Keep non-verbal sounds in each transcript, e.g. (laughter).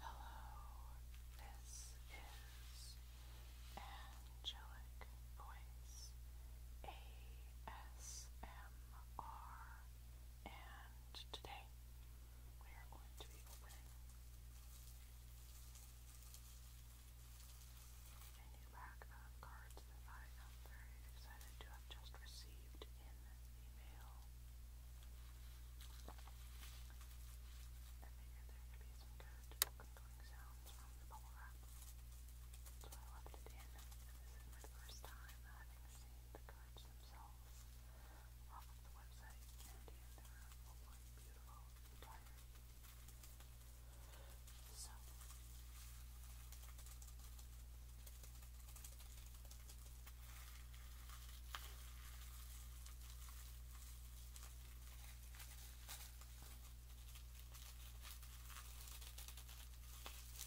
Hello, this is Angelic Voice ASMR are, and today we are going to be opening a new pack of cards that I am very excited to have just received in the mail. I figured there could be some good crinkling sounds from the bubble wrap, so I left it in. And this is my first time from having seen the cards themselves off of the website, and in the room will look beautiful and tired. So, I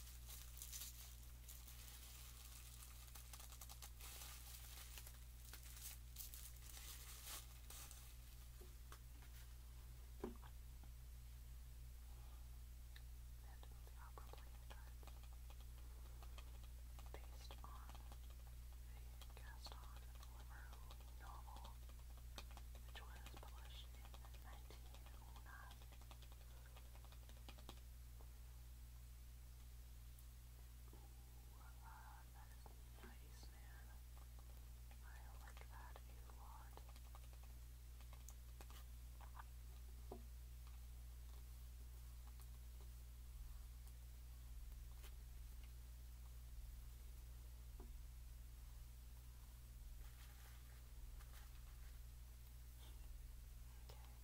based on the cast on Liverpool novel, which was published in 1909 uh, that is nice, man. I like that a lot. Okay, let's see about opening these cards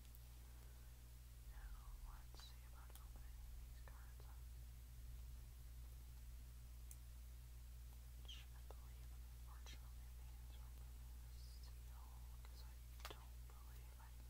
up. I believe, unfortunately, the answer will be the seal because I don't believe I can get into them. No. Oh my god.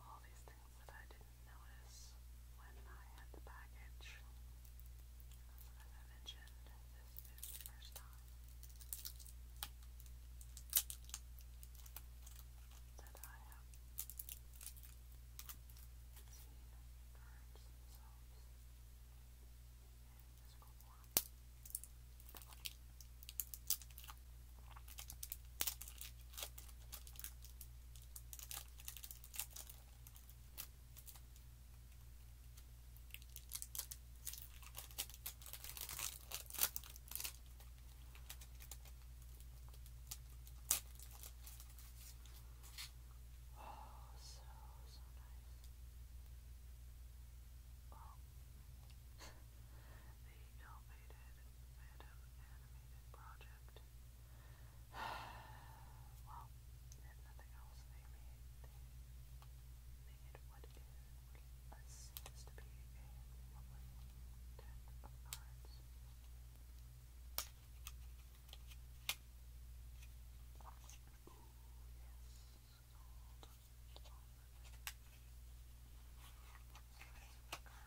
all these things that I didn't notice when I had the package. As I mentioned, this is first time that I have seen birds themselves in Oh, so, so nice. Oh. (laughs) the ill-fated Phantom Animated Project well, if nothing else, they made, they what is what seems to be a lovely deck of cards. Ooh, yes,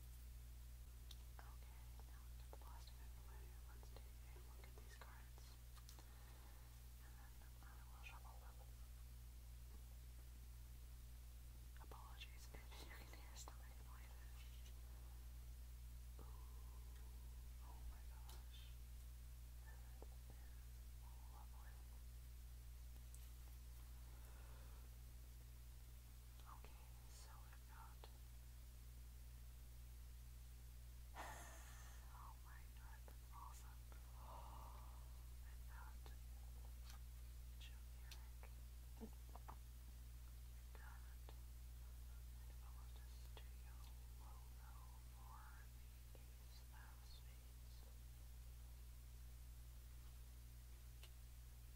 get the plastic out of the way. Let's take a look at these cards. And then I will shuffle them. Apologies you can hear stomach noises. Ooh, oh my gosh. Okay, so we got. oh my god, awesome. we got turmeric. We've got an Velda Studio logo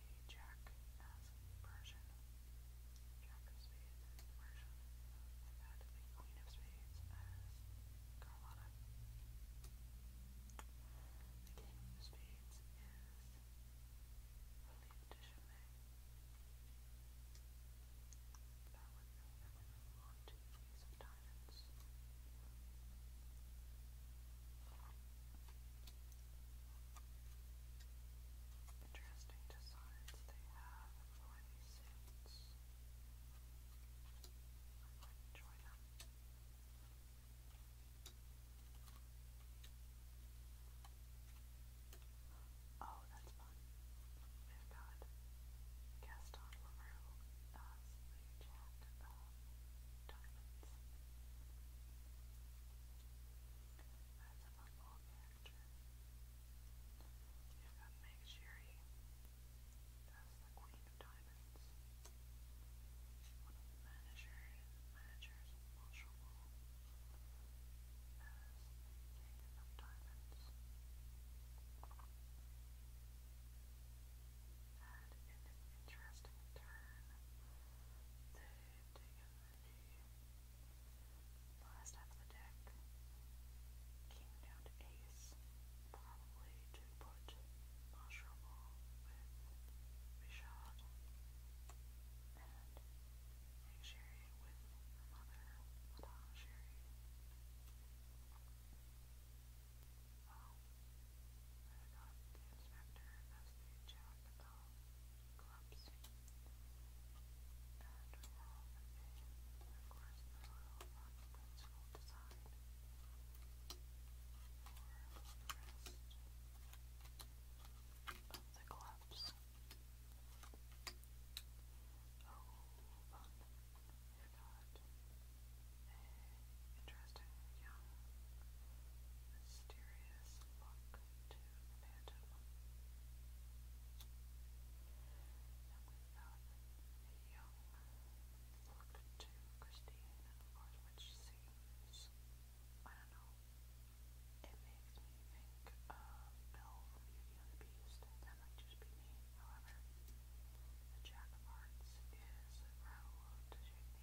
play Jack as Persian. Jack of Spades as Persian. I've the Queen of Spades as Carlotta. The King of Spades is Philippe de Chimay. That the Ace of Diamonds. Interesting designs they have for these suits. I enjoy them. Oh, that's fun. We've got Gaston Leroux as the Jack of um, Diamonds. That's a football You've got Meg the Queen of Diamonds. One of the managers, managers of As King of Diamonds. Had an interesting turn. They've taken the last half of the deck. King down to ace, probably to put mushroom with Rishad and egg with her mother, Madame I got the inspector as the jack of um, clubs. And we have a, of course, the little rock pencil design for the rest of the clubs. Oh, fun, if not a interesting, young, mysterious look going to imagine one. young look to Christine, which seems, I don't know, it makes me think of Bill Beauty and the Beast. That might just be me, however. The Jack of Hearts is Raoul de Chigny.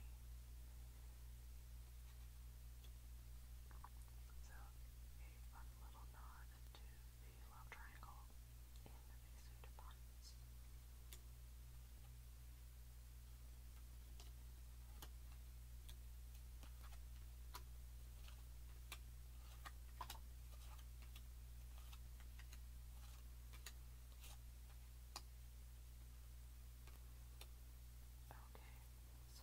So, a fun little nod to the love triangle in the pseudopons. Okay,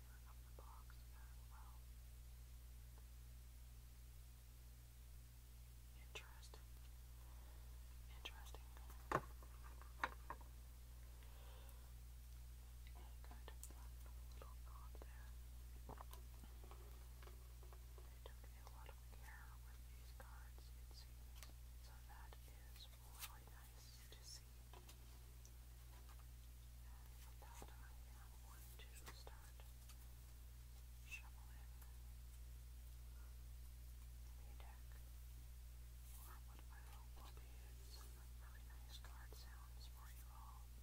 flavor of the box as well. Interesting. Interesting. Good. Little knot there. They took a lot of care with these cards, it seems. So that is really nice to see. And this time I'm going to start shoveling the deck or what I hope will be some really nice card sounds for you all. I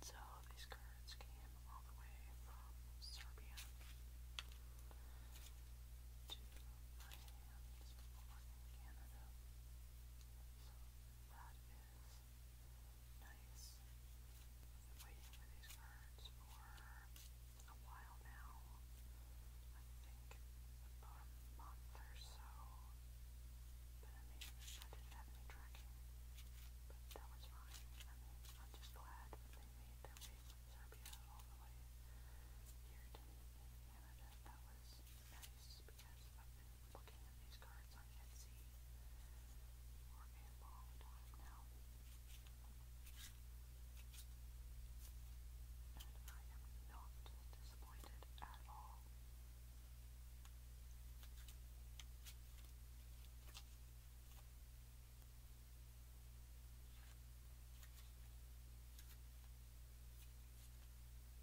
So these cards came all the way from Serbia to my Canada. So that is Nice. i been waiting for these cards for a while now. I think about a month or so. But I I didn't have any tracking. But that was fine. I am just glad they made their from Serbia all the way here to Canada. That was nice because looking at these cards on Etsy for a long time now. And I am not disappointed at all. Now,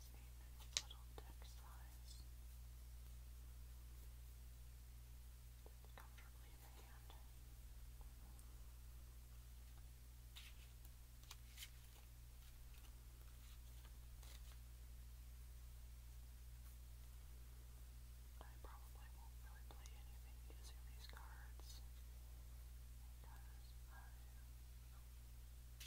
is made of little text flies comfortably in the hand. I probably won't really play anything using these cards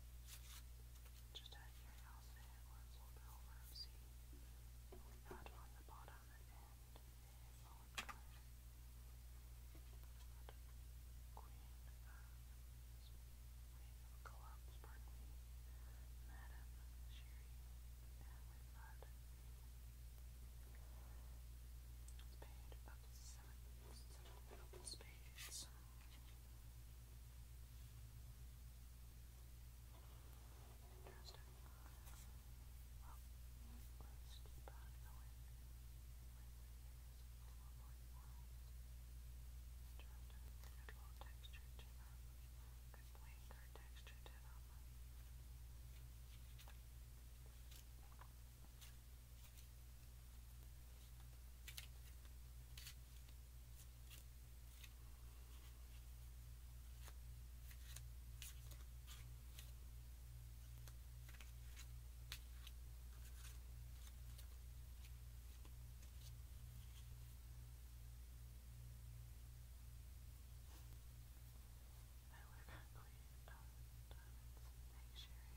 Just out of curiosity, what's a Belrose? Not on the bottom and a solid Queen of Clubs, um, pardon Madam Sherry. And we've got Spade of seven, seven double spades. Interesting. Well, let's keep on going. Interesting. Good little texture to them. Good plain third texture to them. I would have got clean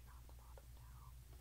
uh, on the bottom now.